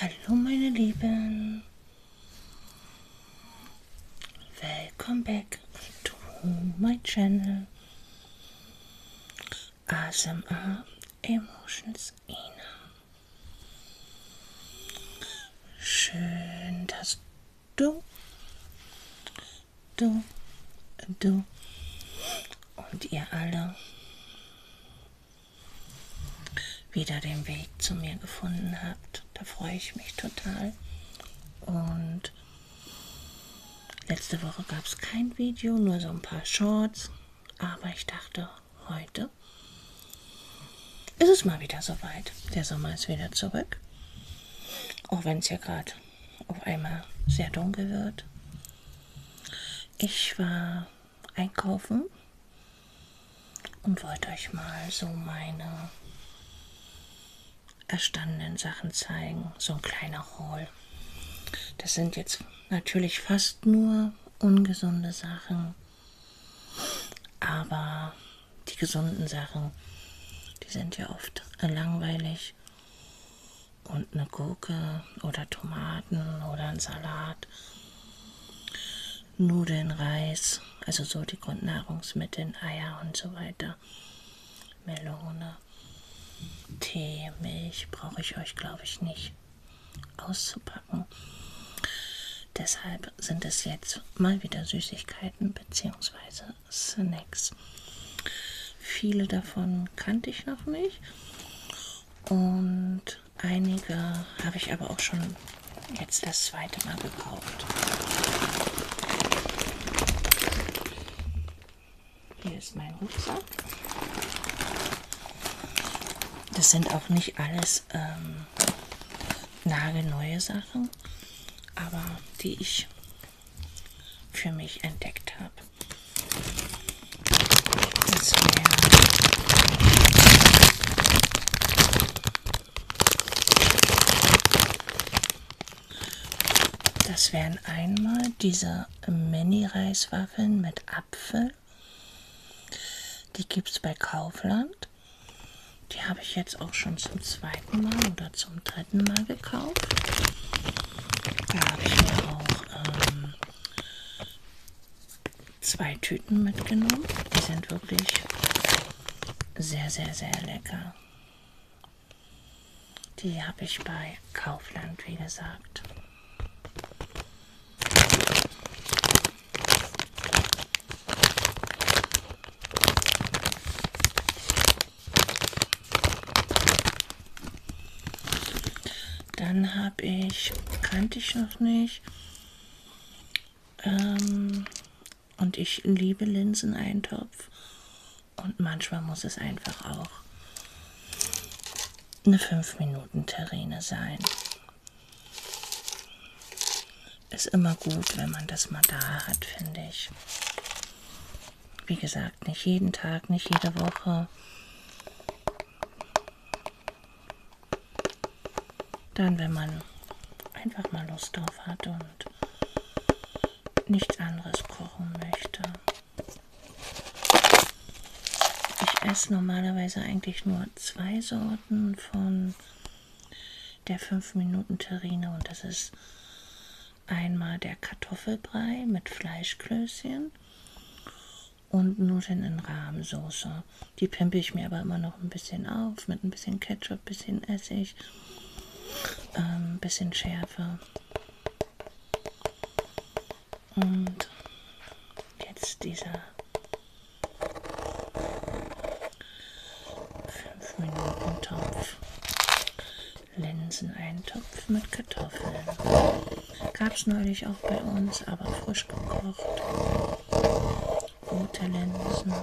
Hallo meine Lieben. Welcome back to my channel. ASMR Emotions Ina. Schön, dass du, du, du und ihr alle wieder den Weg zu mir gefunden habt. Da freue ich mich total. Und letzte Woche gab es kein Video, nur so ein paar Shorts. Aber ich dachte, heute ist es mal wieder soweit. Der Sommer ist wieder zurück. Auch wenn es hier gerade auf einmal sehr dunkel wird. Ich war einkaufen und wollte euch mal so meine erstandenen Sachen zeigen. So ein kleiner Haul. Das sind jetzt natürlich fast nur ungesunde Sachen. Aber die gesunden Sachen, die sind ja oft langweilig. Und eine Gurke oder Tomaten oder ein Salat, Nudeln, Reis, also so die Grundnahrungsmittel, Eier und so weiter, Melone, Tee, Milch brauche ich euch, glaube ich, nicht auszupacken. Deshalb sind es jetzt mal wieder Süßigkeiten bzw. Snacks. Viele davon kannte ich noch nicht und einige habe ich aber auch schon jetzt das zweite Mal gekauft. Hier ist mein Rucksack. Das sind auch nicht alles ähm, nagelneue Sachen, aber die ich für mich entdeckt habe. Das wären wär einmal diese Mini-Reiswaffeln mit Apfel Wahl. Die gibt es bei Kaufland. Die habe ich jetzt auch schon zum zweiten Mal oder zum dritten Mal gekauft. Da habe ich mir auch ähm, zwei Tüten mitgenommen. Die sind wirklich sehr, sehr, sehr lecker. Die habe ich bei Kaufland, wie gesagt. Dann habe ich, kannte ich noch nicht, ähm, und ich liebe Linseneintopf und manchmal muss es einfach auch eine 5 Minuten Terrine sein. Ist immer gut, wenn man das mal da hat, finde ich. Wie gesagt, nicht jeden Tag, nicht jede Woche. Dann, wenn man einfach mal Lust drauf hat und nichts anderes kochen möchte. Ich esse normalerweise eigentlich nur zwei Sorten von der 5-Minuten-Terrine und das ist einmal der Kartoffelbrei mit Fleischklößchen und Nudeln in Rahmsoße. Die pimpe ich mir aber immer noch ein bisschen auf mit ein bisschen Ketchup, bisschen Essig, ähm, bisschen Schärfe. Und jetzt dieser 5 Minuten Topf. Linseneintopf mit Kartoffeln. Gab es neulich auch bei uns, aber frisch gekocht. Rote Linsen.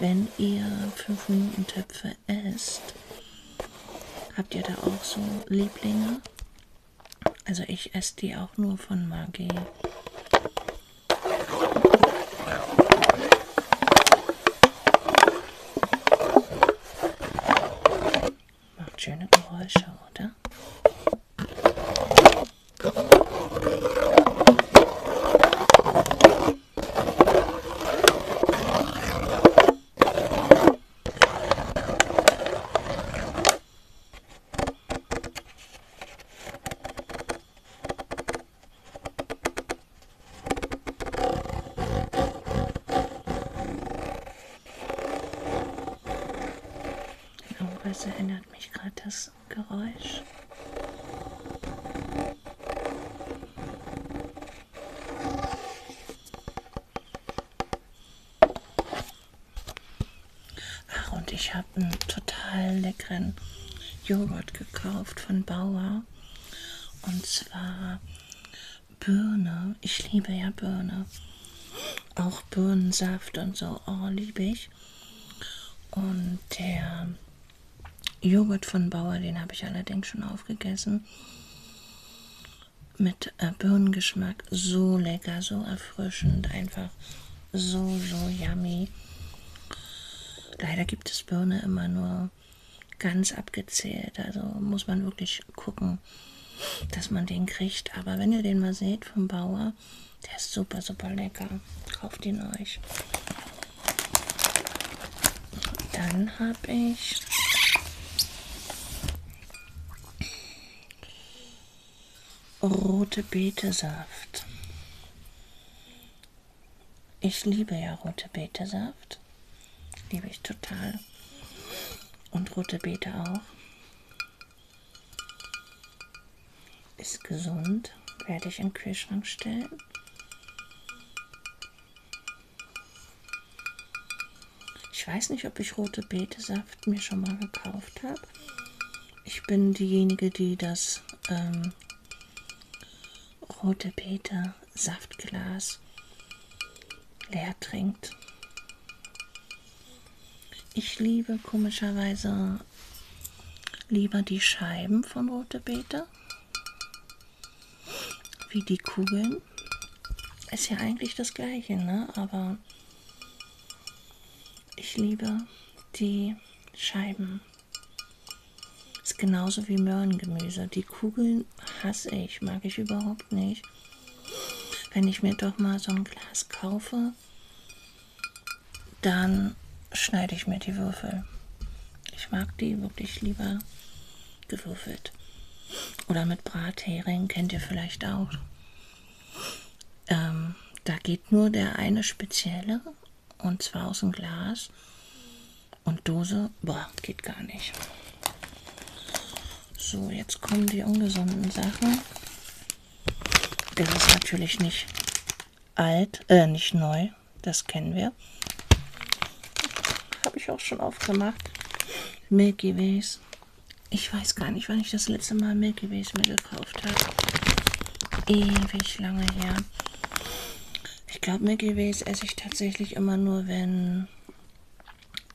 Wenn ihr 5 Minuten Töpfe gerne esst. Habt ihr da auch so Lieblinge? Also ich esse die auch nur von Maggi. Macht schöne Geräusche, oder? Irgendwas erinnert mich gerade das Geräusch. Ach, und ich habe einen total leckeren Joghurt gekauft von Bauer. Und zwar Birne. Ich liebe ja Birne. Auch Birnensaft und so. Oh, liebe ich. Und der Joghurt von Bauer, den habe ich allerdings schon aufgegessen. Mit äh, Birnengeschmack, so lecker, so erfrischend, einfach so, so yummy. Leider gibt es Birne immer nur ganz abgezählt, also muss man wirklich gucken, dass man den kriegt. Aber wenn ihr den mal seht vom Bauer, der ist super, super lecker. Kauft ihn euch. Dann habe ich rote Beetesaft. Ich liebe ja rote Beetesaft. Liebe ich total. Und rote Beete auch. Ist gesund werde ich in den Kühlschrank stellen. Ich weiß nicht, ob ich rote Betesaft mir schon mal gekauft habe. Ich bin diejenige, die das ähm, rote Bete Saftglas leer trinkt. Ich liebe komischerweise lieber die Scheiben von rote Beete wie die Kugeln. Ist ja eigentlich das gleiche, ne? aber ich liebe die Scheiben. Ist genauso wie Möhrengemüse. Die Kugeln hasse ich, mag ich überhaupt nicht. Wenn ich mir doch mal so ein Glas kaufe, dann schneide ich mir die Würfel. Ich mag die wirklich lieber gewürfelt. Oder mit Brathering, kennt ihr vielleicht auch. Ähm, da geht nur der eine spezielle und zwar aus dem Glas. Und Dose, boah, geht gar nicht. So, jetzt kommen die ungesunden Sachen. Das ist natürlich nicht alt, äh, nicht neu. Das kennen wir. Habe ich auch schon aufgemacht. Milky Ways. Ich weiß gar nicht, wann ich das letzte Mal Milky Ways mir gekauft habe. Ewig lange her. Ich glaube, Milky Ways esse ich tatsächlich immer nur, wenn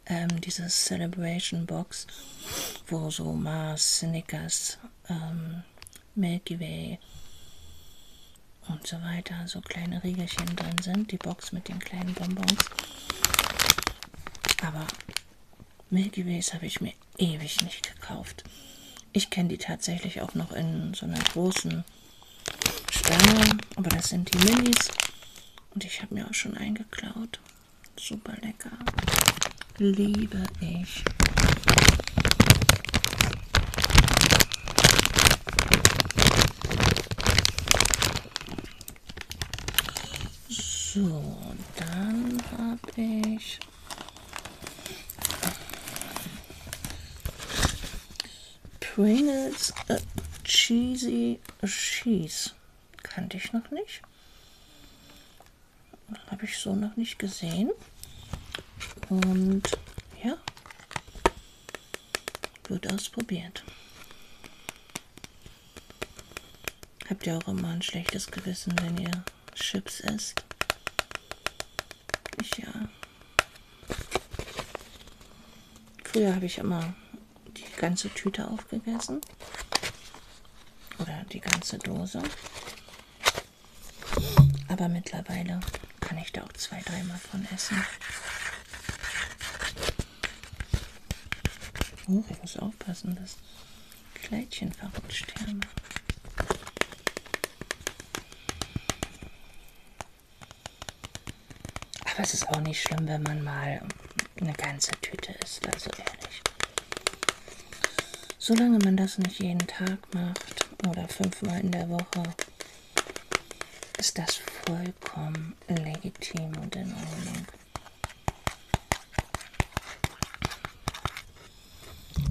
ähm, diese Celebration Box, wo so Mars, Snickers, ähm, Milky Way und so weiter, so kleine Riegelchen drin sind, die Box mit den kleinen Bonbons. Aber Milky Ways habe ich mir ewig nicht gekauft. Ich kenne die tatsächlich auch noch in so einer großen Stange, aber das sind die Minis. Und ich habe mir auch schon eingeklaut. Super lecker. Liebe ich. So, dann habe ich Pringles äh, Cheesy Cheese. Kannte ich noch nicht. Habe ich so noch nicht gesehen. Und ja, wird ausprobiert. Habt ihr auch immer ein schlechtes Gewissen, wenn ihr Chips isst? Ich ja. Früher habe ich immer die ganze Tüte aufgegessen. Oder die ganze Dose. Aber mittlerweile kann ich da auch zwei, dreimal von essen. Oh, ich muss aufpassen, das Kleidchen verrutscht hier. Aber es ist auch nicht schlimm, wenn man mal eine ganze Tüte isst, also ehrlich. Solange man das nicht jeden Tag Tag macht oder fünfmal in der Woche, ist das vollkommen legitim und in Ordnung.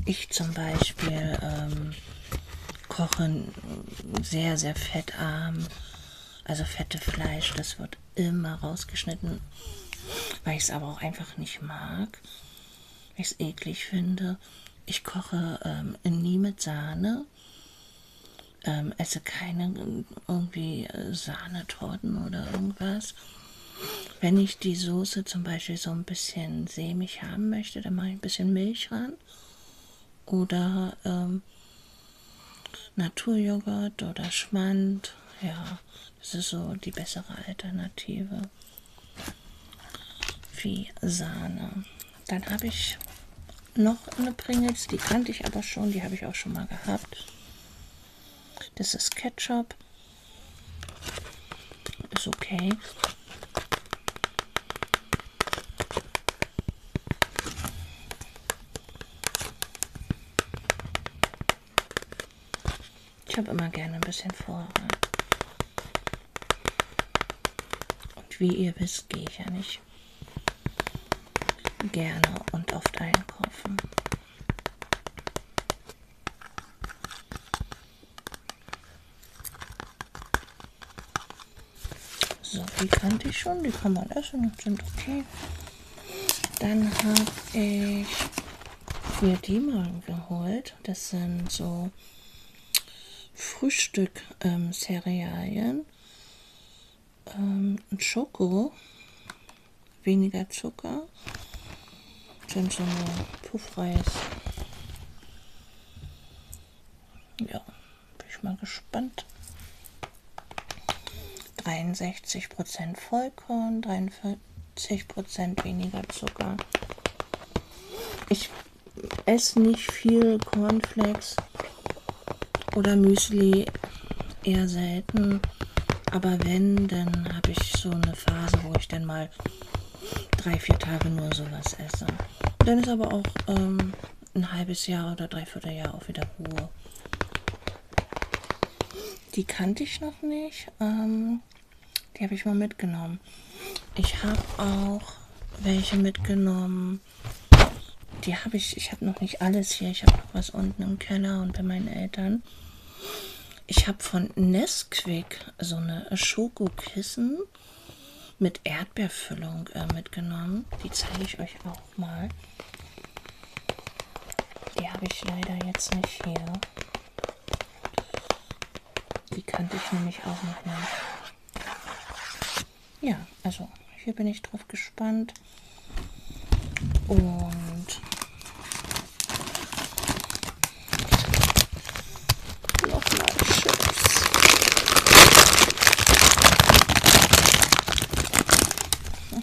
Ich zum Beispiel ähm, koche sehr, sehr fettarm, also fette Fleisch, das wird immer rausgeschnitten, weil ich es aber auch einfach nicht mag ich es eklig finde. Ich koche ähm, nie mit Sahne. Ähm, esse keine irgendwie äh, Sahnetorten oder irgendwas. Wenn ich die Soße zum Beispiel so ein bisschen sämig haben möchte, dann mache ich ein bisschen Milch ran. Oder ähm, Naturjoghurt oder Schmand. Ja, das ist so die bessere Alternative wie Sahne. Dann habe ich noch eine Pringles, die kannte ich aber schon, die habe ich auch schon mal gehabt. Das ist Ketchup. Ist okay. Ich habe immer gerne ein bisschen Vorrat. Und wie ihr wisst, gehe ich ja nicht gerne und oft einkaufen. So, die kannte ich schon, die kann man essen und sind okay. Dann habe ich mir die mal geholt gut. Das sind so Frühstück-Cerealien. Ähm, ähm, Schoko, weniger Zucker. Das sind so eine Puffreis. Ja, bin ich mal gespannt. 63% Vollkorn, 43, 40% weniger Zucker. Ich esse nicht viel Cornflakes oder Müsli, eher selten. Aber wenn, dann habe ich so eine Phase, wo ich dann mal drei, vier Tage nur sowas esse. Dann ist aber auch ähm, ein halbes Jahr oder dreiviertel Jahr auch wieder Ruhe. Die kannte ich noch nicht. Ähm, die habe ich mal mitgenommen. Ich habe auch welche mitgenommen. Die habe ich, ich habe noch nicht alles hier. Ich habe noch was unten im Keller und bei meinen Eltern. Ich habe von Nesquik so eine Schokokissen mit Erdbeerfüllung äh, mitgenommen. Die zeige ich euch auch mal. Die habe ich leider jetzt nicht hier. Die kannte ich nämlich auch noch nicht. Ja, also hier bin ich drauf gespannt. Und nochmal Chips. Hm.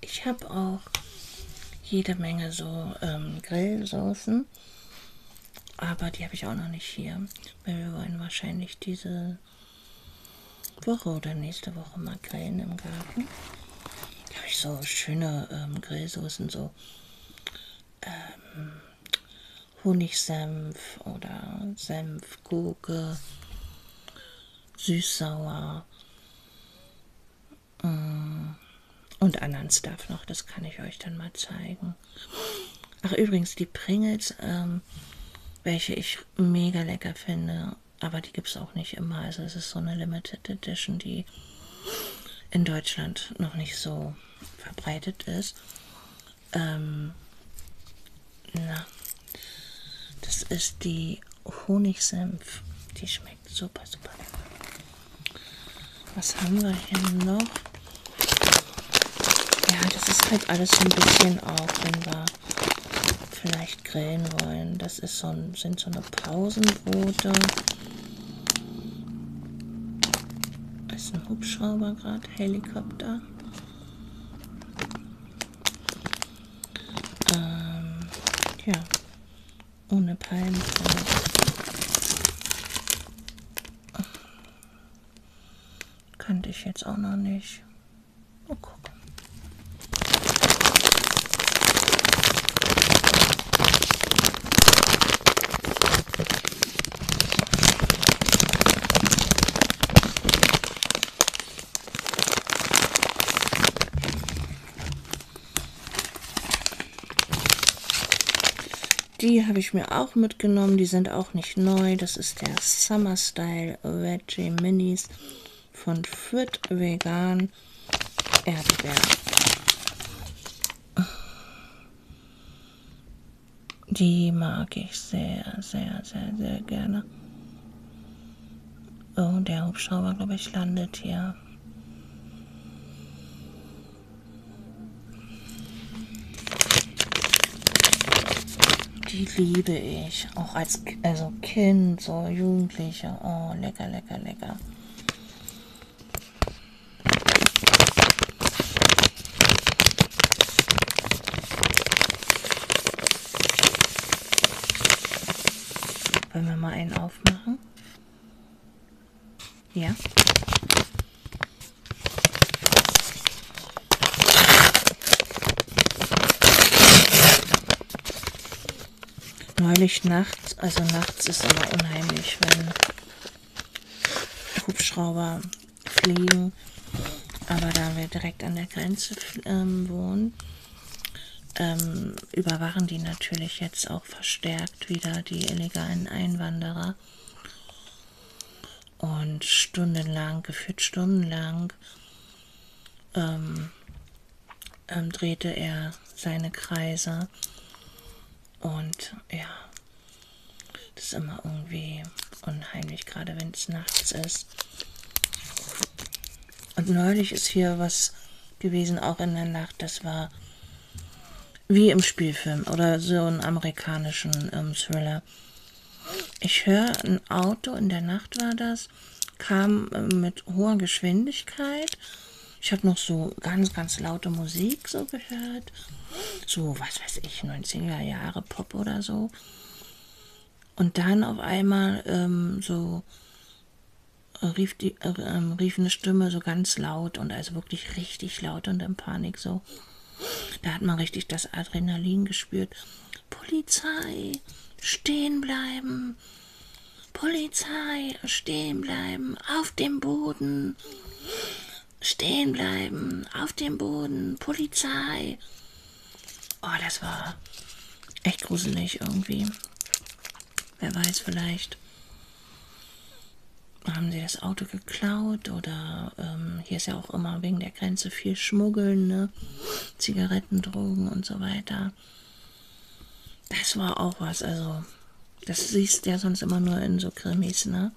Ich habe auch jede Menge so ähm, Grillsoßen, aber die habe ich auch noch nicht hier. Wir wollen wahrscheinlich diese Woche oder nächste Woche mal grillen im Garten. Da habe ich so schöne ähm, Grillsoßen, so ähm, Honigsenf oder Senf, Gurke, süß-sauer mm. und anderen Stuff noch. Das kann ich euch dann mal zeigen. Ach, übrigens, die Pringles, ähm, welche ich mega lecker finde, aber die gibt es auch nicht immer. Also es ist so eine Limited Edition, die in Deutschland noch nicht so verbreitet ist. Ähm, na, das ist die Honigsenf. Die schmeckt super, super lecker. Was haben wir hier noch? Ja, das ist halt alles so ein bisschen auch, wenn wir vielleicht grillen wollen. Das ist so ein, sind so eine Pausenbrote. Ist ein Hubschrauber gerade, Helikopter. Ähm, ja, ohne Palmen. Kannte ich jetzt auch noch nicht. Mal gucken. Die habe ich mir auch mitgenommen. Die sind auch nicht neu. Das ist der Summer Style Veggie Minis von Fit Vegan Erdbeer. Die mag ich sehr, sehr, sehr, sehr gerne. Oh, der Hubschrauber, glaube ich, landet hier. Die liebe ich. Auch als also Kind, so Jugendliche. Oh, lecker, lecker, lecker. Wollen wir mal einen aufmachen? Ja. Neulich nachts, also nachts ist immer unheimlich, wenn Hubschrauber fliegen. Aber da wir direkt an der Grenze ähm, wohnen, ähm, überwachen die natürlich jetzt auch verstärkt wieder die illegalen Einwanderer. Und stundenlang, gefühlt stundenlang, ähm, ähm, drehte er seine Kreise. Und ja, das ist immer irgendwie unheimlich, gerade wenn es nachts ist. Und neulich ist hier was gewesen, auch in der Nacht. Das war wie im Spielfilm oder so einen amerikanischen ähm, Thriller. Ich höre, ein Auto in der Nacht war das, kam äh, mit hoher Geschwindigkeit. Ich habe noch so ganz, ganz laute Musik so gehört. So, was weiß ich, 90er Jahre Pop oder so. Und dann auf einmal ähm, so äh, rief, die, äh, ähm, rief eine Stimme so ganz laut und also wirklich richtig laut und in Panik so. Da hat man richtig das Adrenalin gespürt. Polizei, stehen bleiben. Polizei, stehen bleiben, auf dem Boden. Stehen bleiben, auf dem Boden, Polizei. Oh, das war echt gruselig irgendwie. Wer weiß, vielleicht haben sie das Auto geklaut oder ähm, hier ist ja auch immer wegen der Grenze viel Schmuggeln, ne? Zigaretten, Drogen und so weiter. Das war auch was, also das siehst du ja sonst immer nur in so Krimis, ne?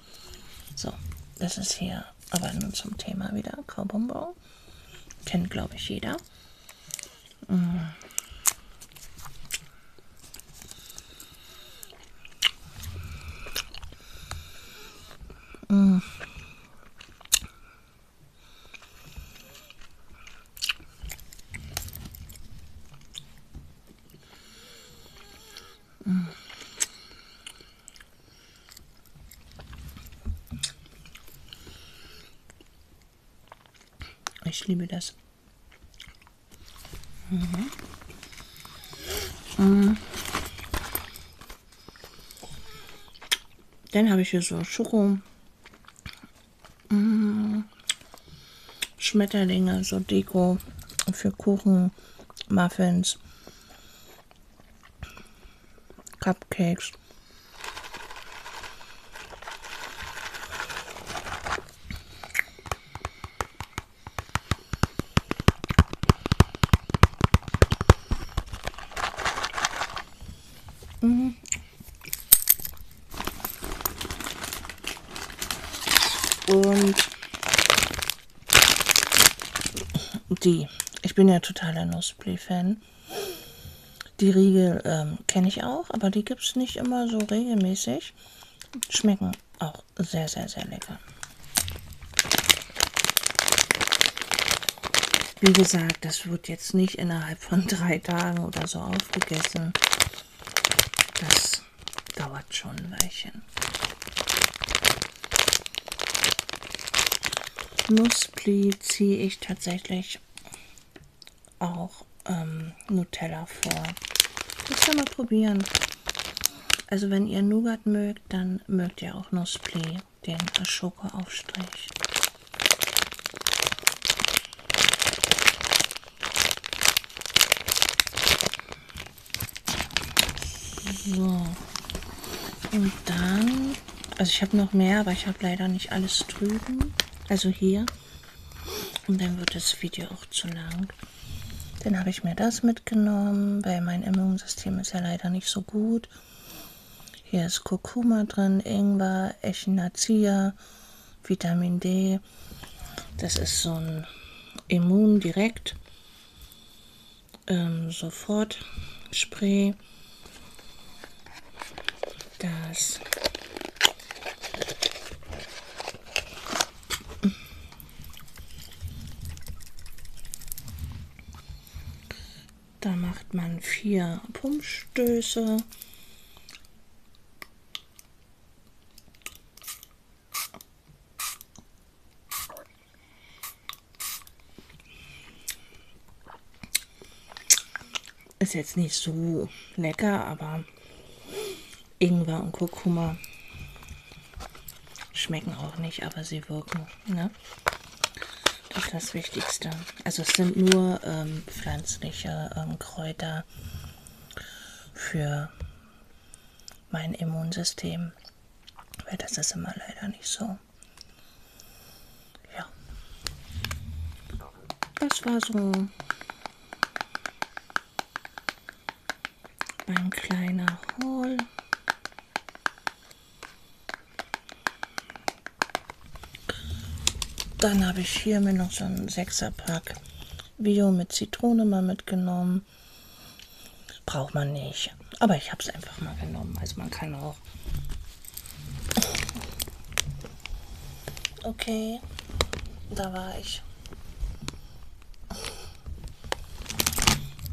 So, das ist hier ja, aber nun zum Thema wieder. Kaubonbon. Kennt, glaube ich, jeder. Mm. Mm. Mm. Ich liebe das. Mhm. Mhm. Dann habe ich hier so Schoko. Mhm. Schmetterlinge, so Deko für Kuchen, Muffins. cupcakes mm. Mm-hmm. und Die. Ich bin ja totaler Nussblee-Fan. Die Riegel ähm, kenne ich auch, aber die gibt es nicht immer so regelmäßig. Schmecken auch sehr, sehr, sehr lecker. Wie gesagt, das wird jetzt nicht innerhalb von drei Tagen oder so aufgegessen. Das dauert schon ein Weilchen. Nuspli ziehe ich tatsächlich auch ähm, Nutella vor. Das kann man probieren. Also wenn ihr Nougat mögt, dann mögt ihr auch Nuspli, den Schokoaufstrich. So. Und dann, also ich habe noch mehr, aber ich habe leider nicht alles drüben. Also hier. Und dann wird das Video auch zu lang. Dann habe ich mir das mitgenommen, weil mein Immunsystem ist ja leider nicht so gut. Hier ist Kurkuma drin, Ingwer, Echinacea, Vitamin D. Das ist so ein Immun direkt ähm, sofort Spray. Das Da macht man vier Pumpstöße. Ist jetzt nicht so lecker, aber Ingwer und Kurkuma schmecken auch nicht, aber sie wirken. Ne? Das ist das Wichtigste. Also es sind nur ähm, pflanzliche ähm, Kräuter für mein Immunsystem. Weil das ist immer leider nicht so. Ja. Das war so mein kleiner Haul. Dann habe ich hier mir noch so einen 6er Pack Bio mit Zitrone mal mitgenommen haben. Braucht man nicht. Aber ich habe es einfach mal genommen. Also man kann auch. Okay, da war ich.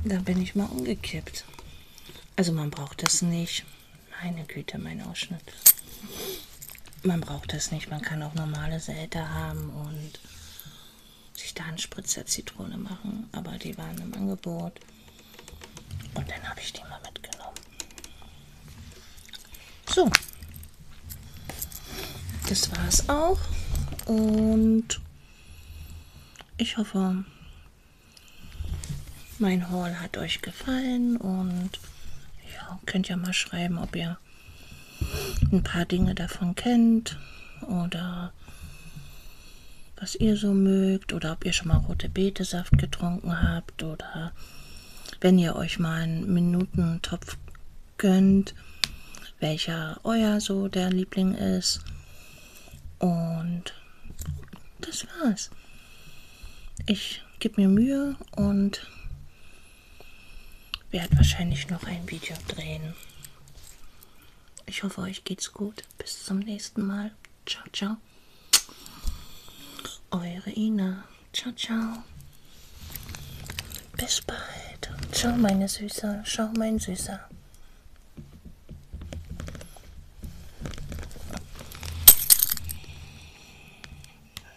Da bin ich mal umgekippt. Also man braucht das nicht. Meine Güte, mein Ausschnitt. Man braucht das nicht. Man kann auch normale Säte haben und sich da einen Spritzer Zitrone machen, aber die waren im Angebot. Und dann habe ich die mal mitgenommen. So, das war es auch. Und ich hoffe, mein Haul hat euch gefallen und ja, könnt ja mal schreiben, ob ihr ein paar Dinge davon kennt oder was ihr so mögt oder ob ihr schon mal rote Beetesaft getrunken habt oder wenn ihr euch mal einen Minutentopf gönnt, welcher euer so der Liebling ist. Und das war's. Ich gebe mir Mühe und werde wahrscheinlich noch ein Video drehen. Ich hoffe, euch geht's gut. Bis zum nächsten Mal. Ciao, ciao. Eure Ina. Ciao, ciao. Bis bald. Ciao, meine Süße. Ciao, mein Süßer.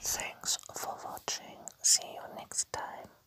Thanks for watching. See you next time.